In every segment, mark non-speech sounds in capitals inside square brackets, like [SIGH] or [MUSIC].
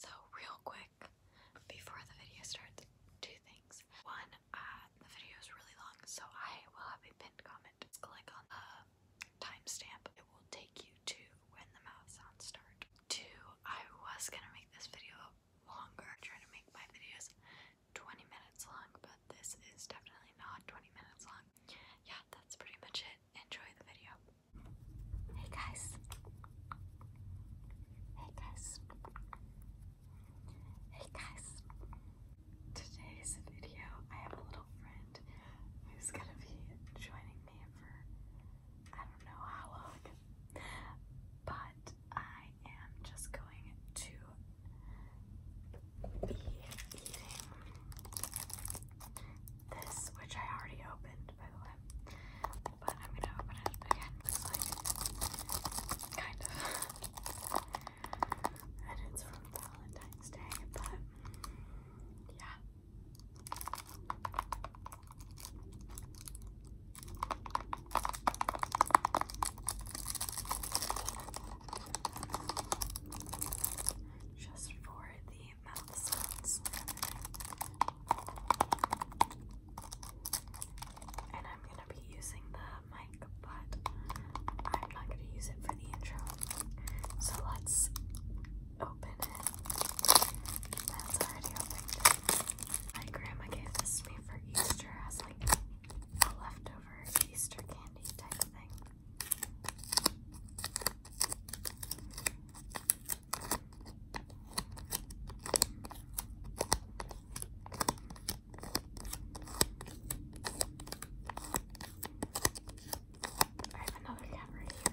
So, real quick, before the video starts, two things. One, uh, the video is really long, so I will have a pinned comment. click on the timestamp, it will take you to when the mouth sounds start. Two, I was gonna make this video longer, I'm trying to make my videos 20 minutes long, but this is definitely not 20 minutes long. Yeah, that's pretty much it. Enjoy the video. Hey guys. Hey guys. Hey guys. Today's video, I have a little friend who's gonna be joining me for I don't know how long, but I am just going to be eating this, which I already opened, by the way. But I'm gonna open it again like, kind of. and it's from Valentine's Day, but yeah. Just for the and I'm gonna be using the mic, but I'm not gonna use it for the intro. So let's open it. That's already opened. My grandma gave this to me for Easter as like a leftover Easter candy type thing. I have another tab right here.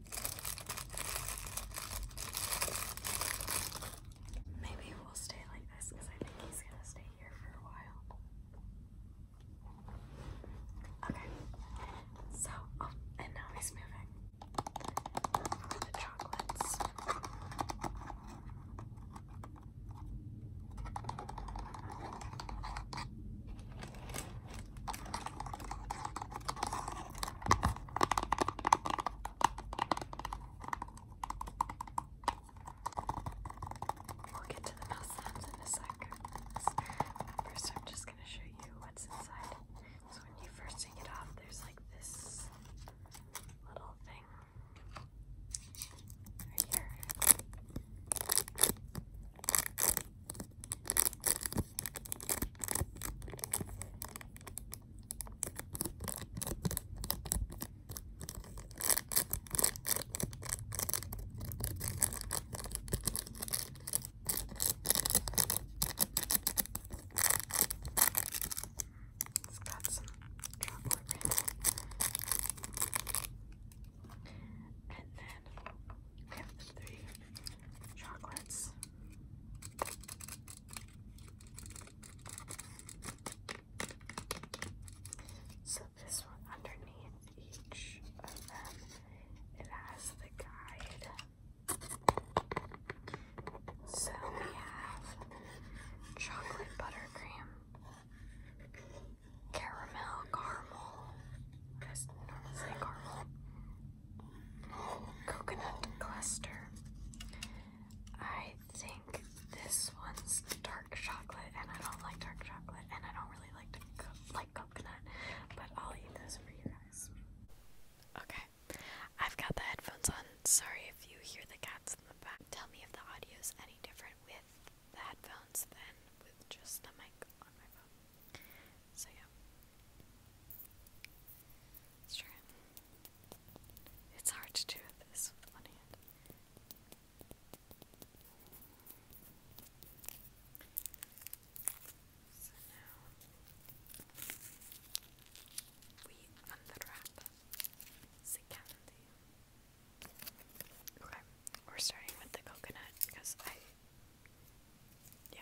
Maybe we'll stay like this because I think he's gonna stay here for a while. Okay, so, oh, and now he's moving the chocolates. We'll get to the mouse sounds in a sec. First, I'm just going to show you what's inside. So, when you first take it off, there's like this little thing right here. It's got some chocolate in it. And then we have three chocolates. So this one underneath each of them, it has the guide. So we have chocolate buttercream caramel, caramel, because normally caramel, coconut cluster. I think this one's dark chocolate, and I don't like dark chocolate, and I don't really like to like coconut, but I'll eat this for you guys. Okay, I've got the headphones on. Sorry if you hear the cats in the back. Tell me if the audio is any different with the headphones than with just a mic on my phone. So yeah. It's hard to do this with one hand. So now we unwrap the Okay, we're starting with the coconut because I. Yeah.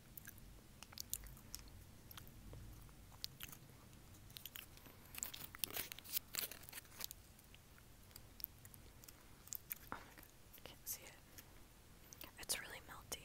Oh my god, I can't see it. It's really melty.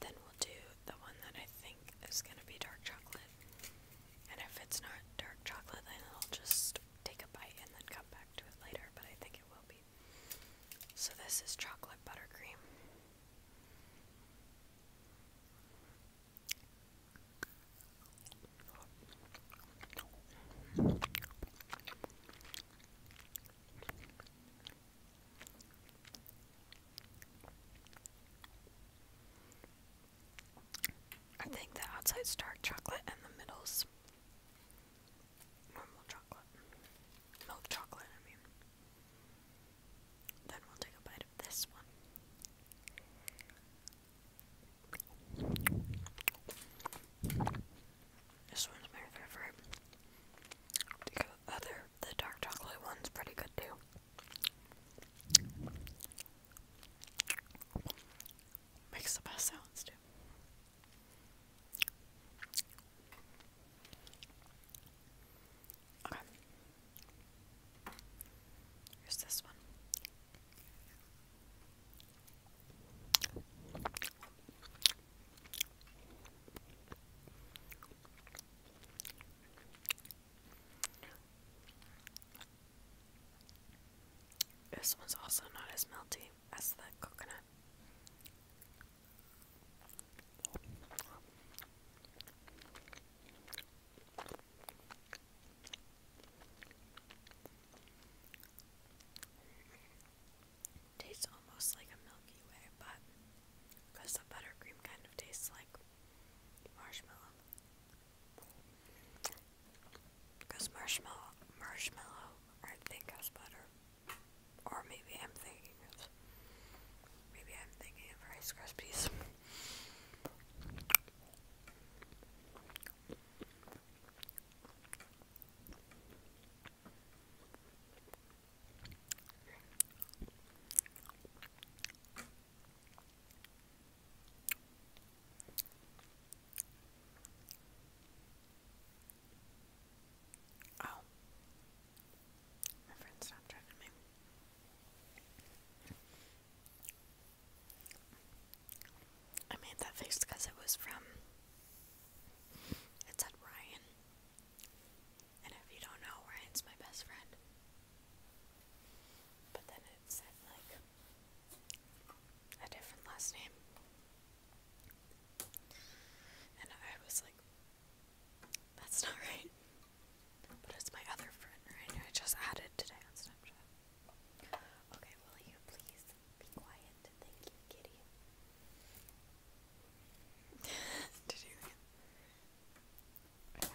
Then we'll do the one that I think is going to be dark chocolate. And if it's not dark chocolate, then I'll just take a bite and then come back to it later, but I think it will be. So, this is chocolate buttercream. I think the outside's dark chocolate and the middle's normal chocolate. Milk chocolate, I mean. Then we'll take a bite of this one. This one's my favorite. other, the dark chocolate one's pretty good too. Makes the best sounds too. Okay. Here's this one. This one's also not as melty as the coconut. Tastes almost like a Milky Way, but because the buttercream kind of tastes like marshmallow. Because marshmallow, marshmallow I think as butter, or maybe I'm thinking thinking of. Maybe I'm thinking of Rice Krispies. Oh, I made that face because it was from. It said Ryan. And if you don't know, Ryan's my best friend. But then it said, like, a different last name. And I was like, that's not right. But it's my other friend, right? I just added today on Snapchat. Okay, will you please be quiet? Thank you, kitty. [LAUGHS] Did you? Okay.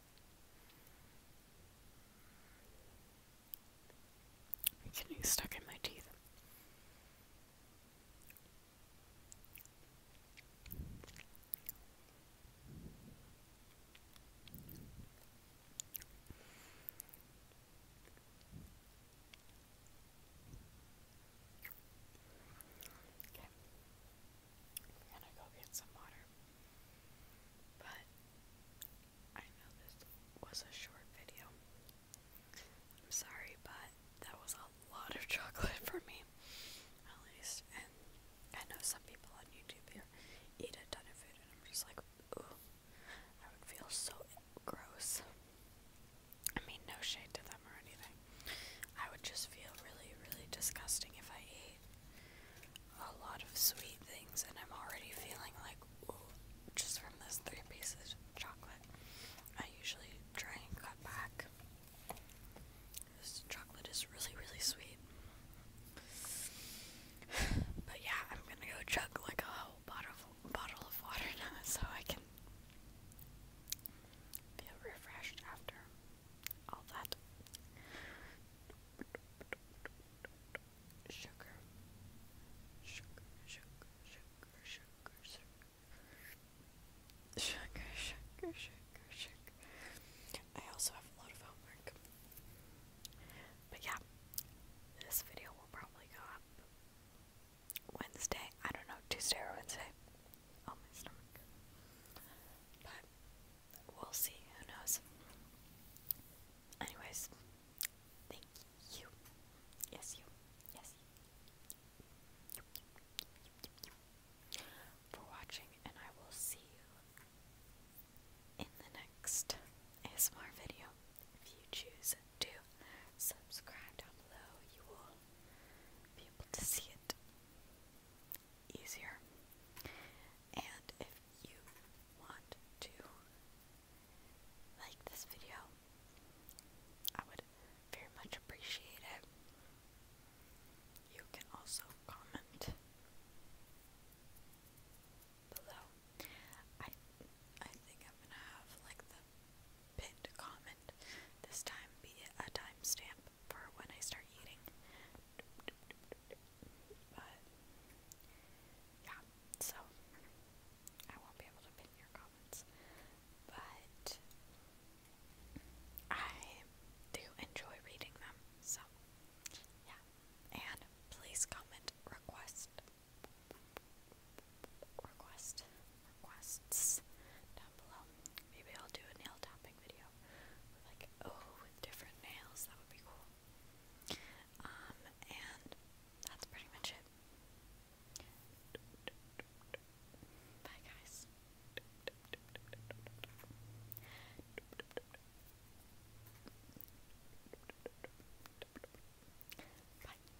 It's getting stuck in my teeth. Okay. I'm gonna go get some water. But I know this was a short video. I'm sorry, but that was a lot of [LAUGHS] chocolate for me, at least. And I know some people on YouTube here eat a ton of food, and I'm just like, ooh, I would feel so gross. I mean, no shade to them or anything. I would just feel really, really disgusting if I ate a lot of sweet things, and I'm already feeling like, ooh, just from those three pieces of chocolate. I usually try and cut back. This chocolate is really, really sweet. [SIGHS] But yeah, I'm gonna go chug like a whole bottle bottle of water [LAUGHS] now so I can feel refreshed after all that sugar, sugar, sugar, sugar, sugar, sugar. Sugar, sugar, sugar, sugar. I also have a lot of homework. But yeah, this video will probably go up Wednesday. I don't know, Tuesday or Wednesday. Oh, my stomach. But we'll see. Who knows? Anyways, thank you. Yes, you. Yes. You. For watching, and I will see you in the next ASMR video. If you choose to subscribe down below, you will be able to see it easier. And if you want to like this video, I would very much appreciate it. You can also comment below. I I think I'm gonna have like the pinned comment, this time be a timestamp for when I start eating. But yeah, so I won't be able to pin your comments. But I do enjoy reading them, so yeah. And please comment request request requests down below. Maybe I'll do a nail tapping video with like oh with different nails. That would be cool. Um and that's pretty much it. Bye guys. Bye.